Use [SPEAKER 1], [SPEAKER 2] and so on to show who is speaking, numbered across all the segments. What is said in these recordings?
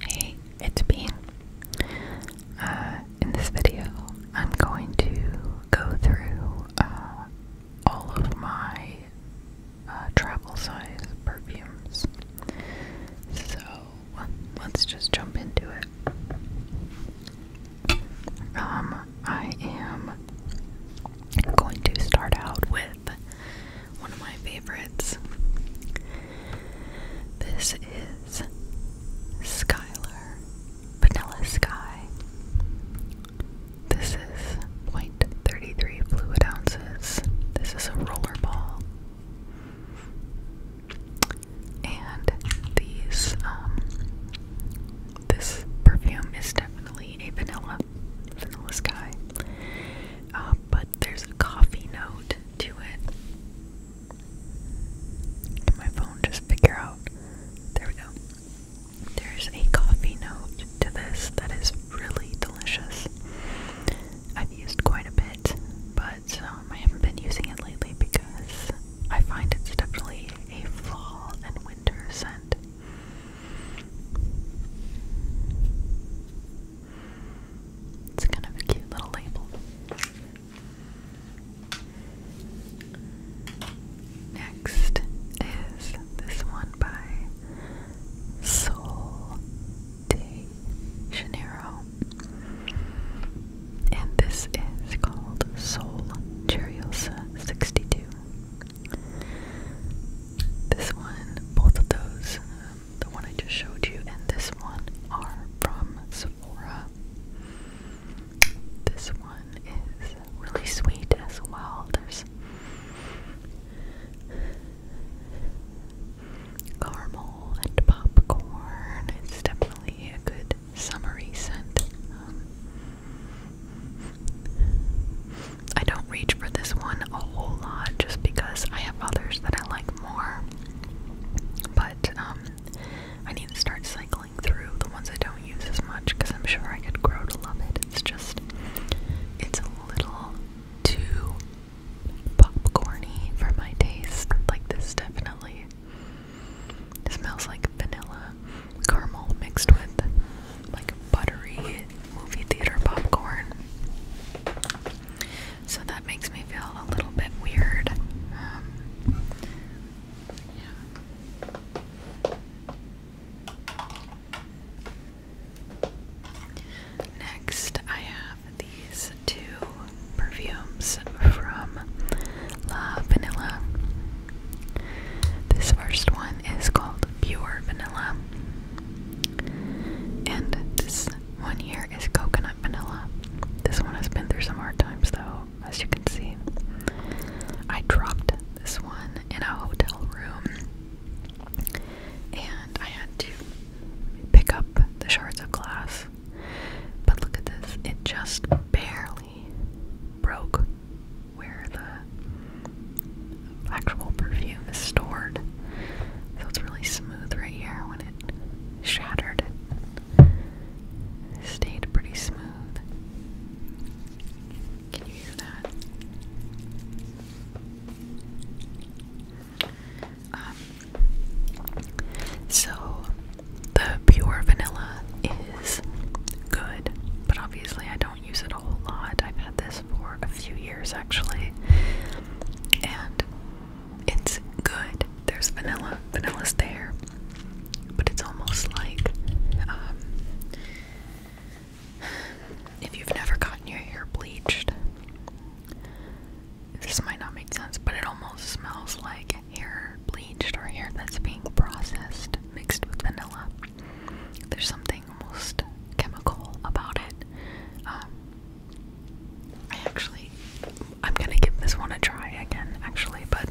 [SPEAKER 1] Hey, it's Bean. Uh, in this video, I'm going to go through uh, all of my uh, travel size perfumes. So let's just jump into it. Um, I am going to start out with one of my favorites. This is Skylar Vanilla Sky. This is 0.33 fluid ounces. This is a roller ball. And these, um, this perfume is definitely a vanilla vanilla sky. Uh, but there's a coffee note to it. my phone just figure out? There we go. There's a coffee note to this that is really delicious. I've used quite a bit, but um, I haven't been using it lately because I find it's definitely a fall and winter scent. It's kind of a cute little label. Next is this one by Sol de Janeiro. And this is called Sol Cheriosa 62. This one, both of those, um, the one I just showed you and this one, are from Sephora. This one is really sweet as well. There's caramel and popcorn. It's definitely a good summery scent. Um, I don't reach for this one a whole lot just because I have others that I like more. But um, I need to start cycling through the ones I don't use as much because I'm sure I could grow to love it. It's just, it's a little too popcorny for my taste. Like this definitely smells like vanilla caramel mixed with like buttery movie theater popcorn. So that makes me feel a little bit weird. Um, Next, I have these two perfumes from La Vanilla. This first one is called Pure Vanilla. And this one here is Coconut Vanilla. This one has been through some hard times though, as you can see. I dropped this one in a hotel room. And I had to pick up the shards of glass. But look at this, it just barely broke where the actual perfume is stored. So really smooth right here when it shattered. It stayed pretty smooth. Can you that? Um, so the pure vanilla is good, but obviously I don't use it a whole lot. I've had this for a few years actually, and it's good. There's vanilla, vanilla's there, but it's almost like um, if you've never gotten your hair bleached. This might not make sense, but it almost smells like hair bleached or hair that's being processed mixed with vanilla. There's something almost chemical about it. Um, I actually, I'm gonna give this one a try again, actually, but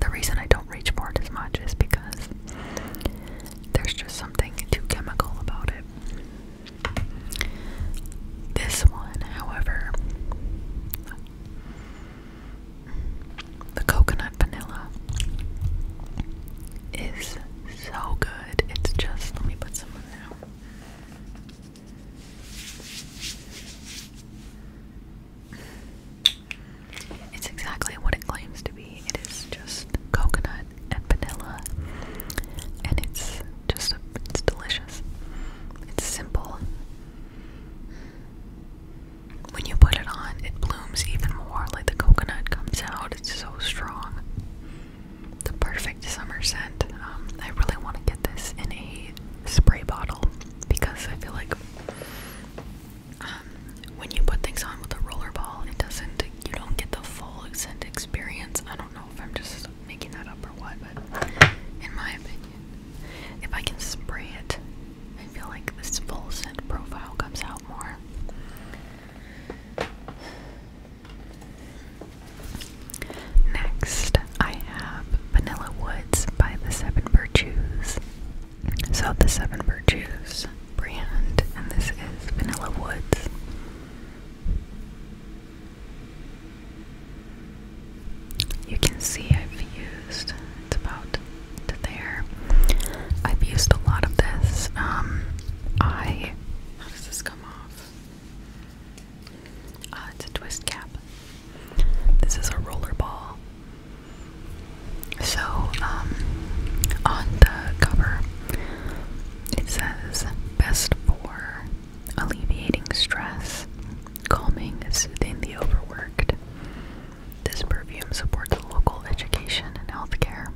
[SPEAKER 1] the reason I don't reach for it as much is because there's just something too chemical about it. This one, however, the coconut vanilla is so good. It's just, let me put some of that. It's exactly what it claims to be. It is just coconut and vanilla, and it's just, it's delicious. It's simple, when you put it on, it blooms even more, like the coconut comes out. It's so strong. The perfect summer scent. Um, I really want to get this in a spray bottle because I feel like um, when you put things on with a rollerball, it doesn't, you don't get the full scent experience. I don't know if I'm just making that up or what, but in my opinion. If I can spray it, I feel like this full scent profile comes out more. Next, I have Vanilla Woods by the Seven Virtues. So, the Seven Virtues brand, and this is Vanilla Woods. You can see I've used it's about to there. I've used a lot of this. Um, I how does this come off? Uh, it's a twist cap. This is a roller ball. So, um, on the cover, it says best for alleviating stress, calming, soothing the overworked. This perfume supports local education and healthcare.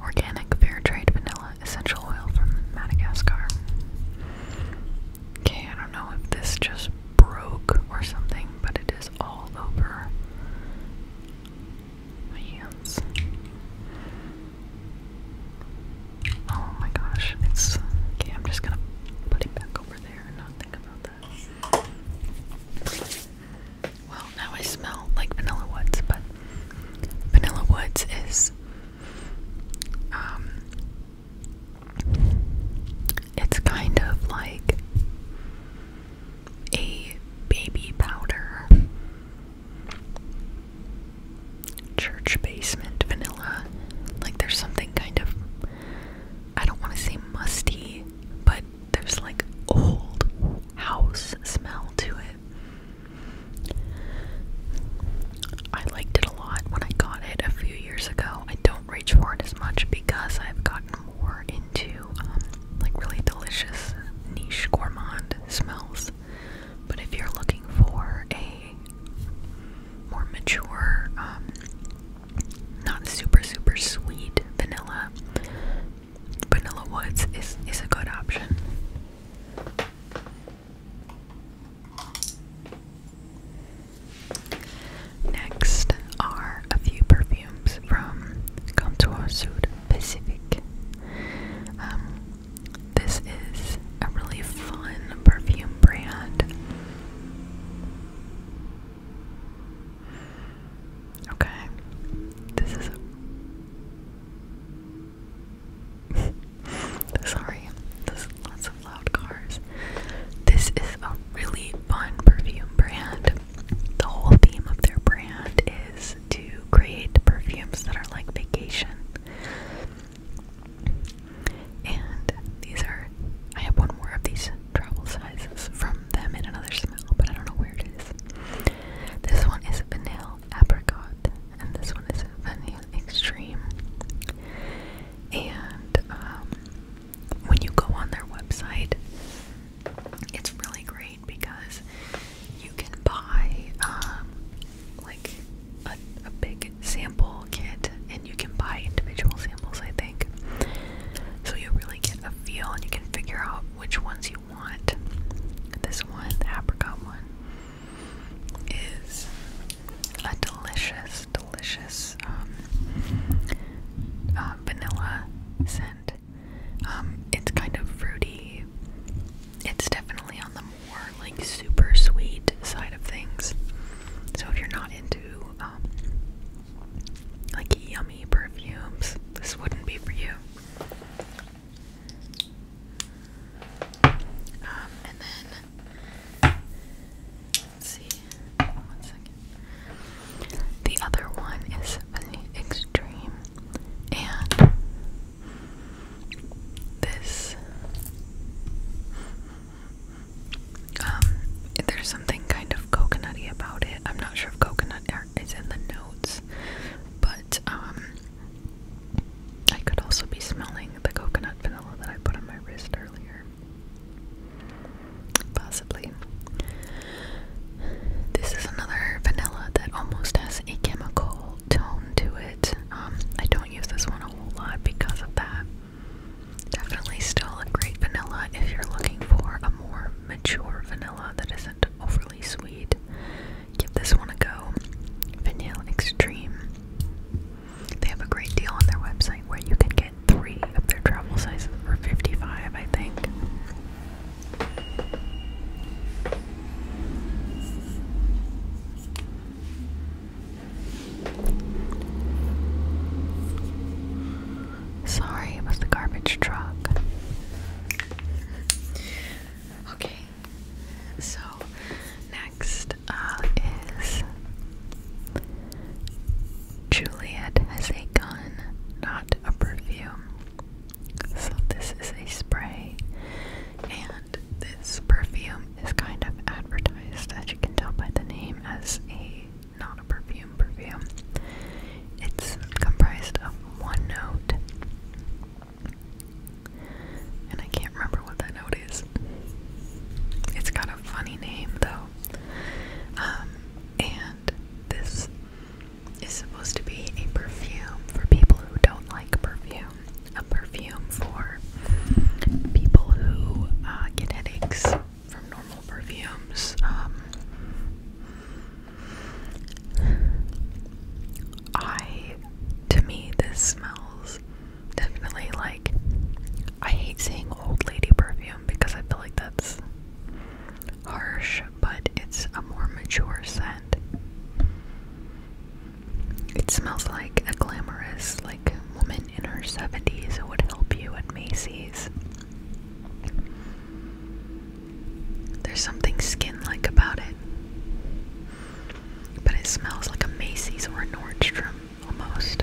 [SPEAKER 1] Organic fair trade vanilla essential oil from Madagascar. Okay, I don't know if this just broke or something, but it is all over my hands. Oh my gosh, it's okay. I'm just gonna put it back over there and not think about that. Well, now I smell like vanilla woods, but vanilla woods is um it's kind of like a baby powder church basement vanilla. Like there's something kind of I don't want to say musty, but there's like old house smell to it. I liked it a lot when I got it a few years ago. I don't reach for it as much because I've gotten more into um, like really delicious niche gourmand smells. But if you're looking for a more mature, um, not super super sweet vanilla. Vanilla Woods is is a good option. Next are a few perfumes from Comptoir Sud Pacifique. Um, this is a really fun perfume brand. Okay. This is Sorry. There's lots of loud cars. This is a really fun perfume brand. The whole theme of their brand is to create perfumes that are like vacation. And these are, I have one more of these travel sizes from them in another smell, but I don't know where it is. This one is vanilla apricot, and this one is vanilla extreme. And um, when you go on their website, it's really great because you can buy um, like a, big sample kit and you can buy individual samples, I think. So you really get a feel and you can figure out which ones you want. This one, the apricot one, is a delicious, delicious um, uh, vanilla scent. Um, it's kind of fruity. It's definitely on the more like super sweet side of things. So if you're not into um, like yummy perfumes, this wouldn't be for you. Um, and then let's see. One second. The other one is extreme, and this um there's something kind of coconutty about it. I'm not sure if coconut is in the notes, but um I could also be smelling the coconut vanilla that I put on my wrist earlier. Possibly. This is another vanilla that almost has a chemical tone to it. Um, I don't use this one a whole lot because of that. Definitely still a great vanilla if you're looking for a more mature vanilla that isn't overly sweet. Give this one a go. Vanilla Extreme. They have a great deal on their website where you can get three of their travel sizes for 55 I think. Sorry, about the garbage truck. Okay, so next uh, is Juliet has a gun, not a perfume. So this is a spray and this perfume is kind of advertised as you can tell by the name as a not a perfume perfume. It's comprised of one note and I can't remember what that note is. It's got a funny name though. Um, and this is supposed to be a perfume for people who don't like perfume, a perfume for people who uh, get headaches from normal perfumes. Um, I, to me, this smells definitely like I hate seeing old lady perfume because I feel like that's harsh, but it's a more mature scent. It smells like a glamorous, like, woman in her 70s who would help you at Macy's. There's something skin like about it. But it smells like a Macy's or a Nordstrom almost.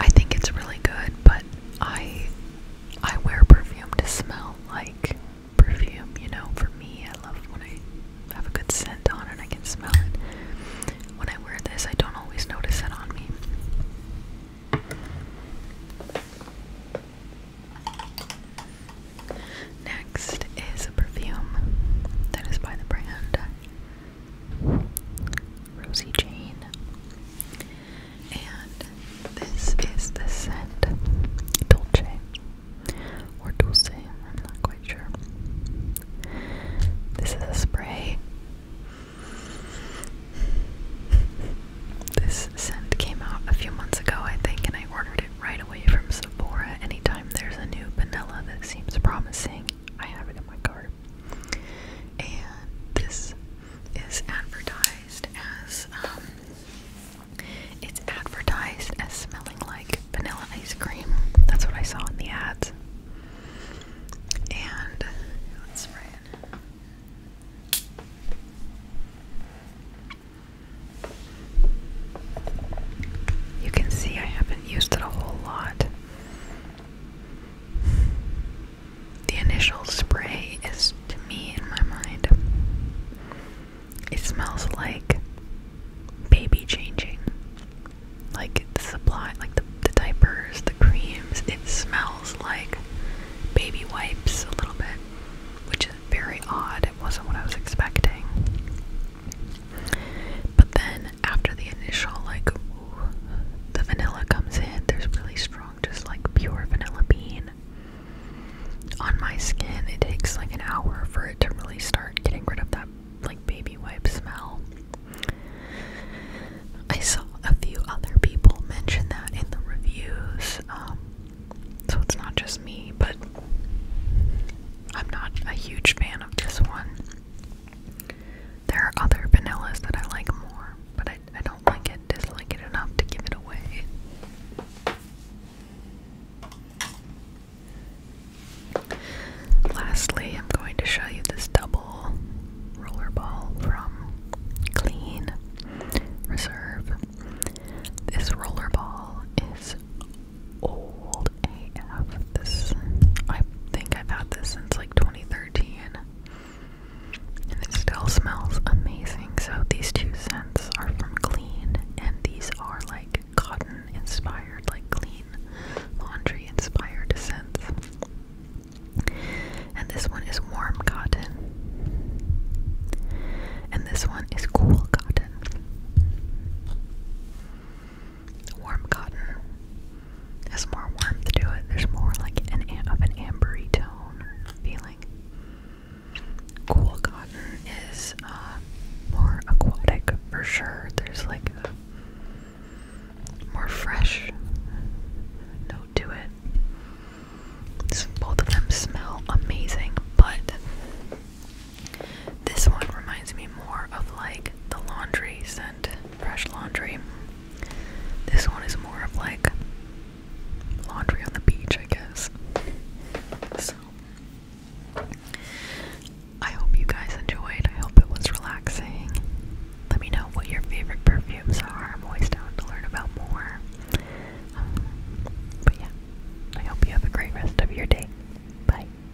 [SPEAKER 1] I think it's really good, but I I wear perfume to smell like perfume, you know, for me I love when I have a good scent on and I can smell it. When I wear this I don't always notice it on me. Next is a perfume that is by the brand Rosie Jane. And this is the scent Dolce or Dulce, I'm not quite sure. This is a spray. This scent came out a few months ago, I think, and I ordered it right away from Sephora. Anytime there's a new vanilla that seems promising, I have it in my cart. And this is advertised as um, it's advertised as smelling like vanilla ice cream. That's what I saw in the ads. And let's spray it. You can see I haven't used it a whole lot. The initial spray is, to me, in my mind, it smells like baby changing. Like the supply, like the, the diapers, the creams, it smells like baby wipes a little bit, which is very odd. It wasn't what I was expecting. But then after the initial like ooh, the vanilla comes in, there's really strong just like pure vanilla bean on my skin. It takes like an hour for it to really start getting rid of that like baby wipe smell. I saw a few other people mention that in the reviews. Um, so it's not just me, but I'm not a huge fan of this one. There are other vanillas that I like more, but I, don't like it, dislike it enough to give it away. Lastly, I'm going to show you this double roller ball from Clean Reserve. This roller ball is old. AF. This I think I've had this since like 2013. And it still smells amazing. So these two scents are from Clean and these are like cotton inspired, like clean laundry inspired scents. And this one is warm cotton. And this one is cool cotton warm cotton has more warmth to it. There's more like an of an ambery tone feeling. Cool cotton is uh, more aquatic for sure. There's like a more fresh note to it. both of them smell amazing, but this one reminds me more of like the laundry scent, fresh laundry. This one is more of like laundry on the beach, I guess. So, I hope you guys enjoyed. I hope it was relaxing. Let me know what your favorite perfumes are. I'm always down to learn about more. Um, but yeah, I hope you have a great rest of your day. Bye.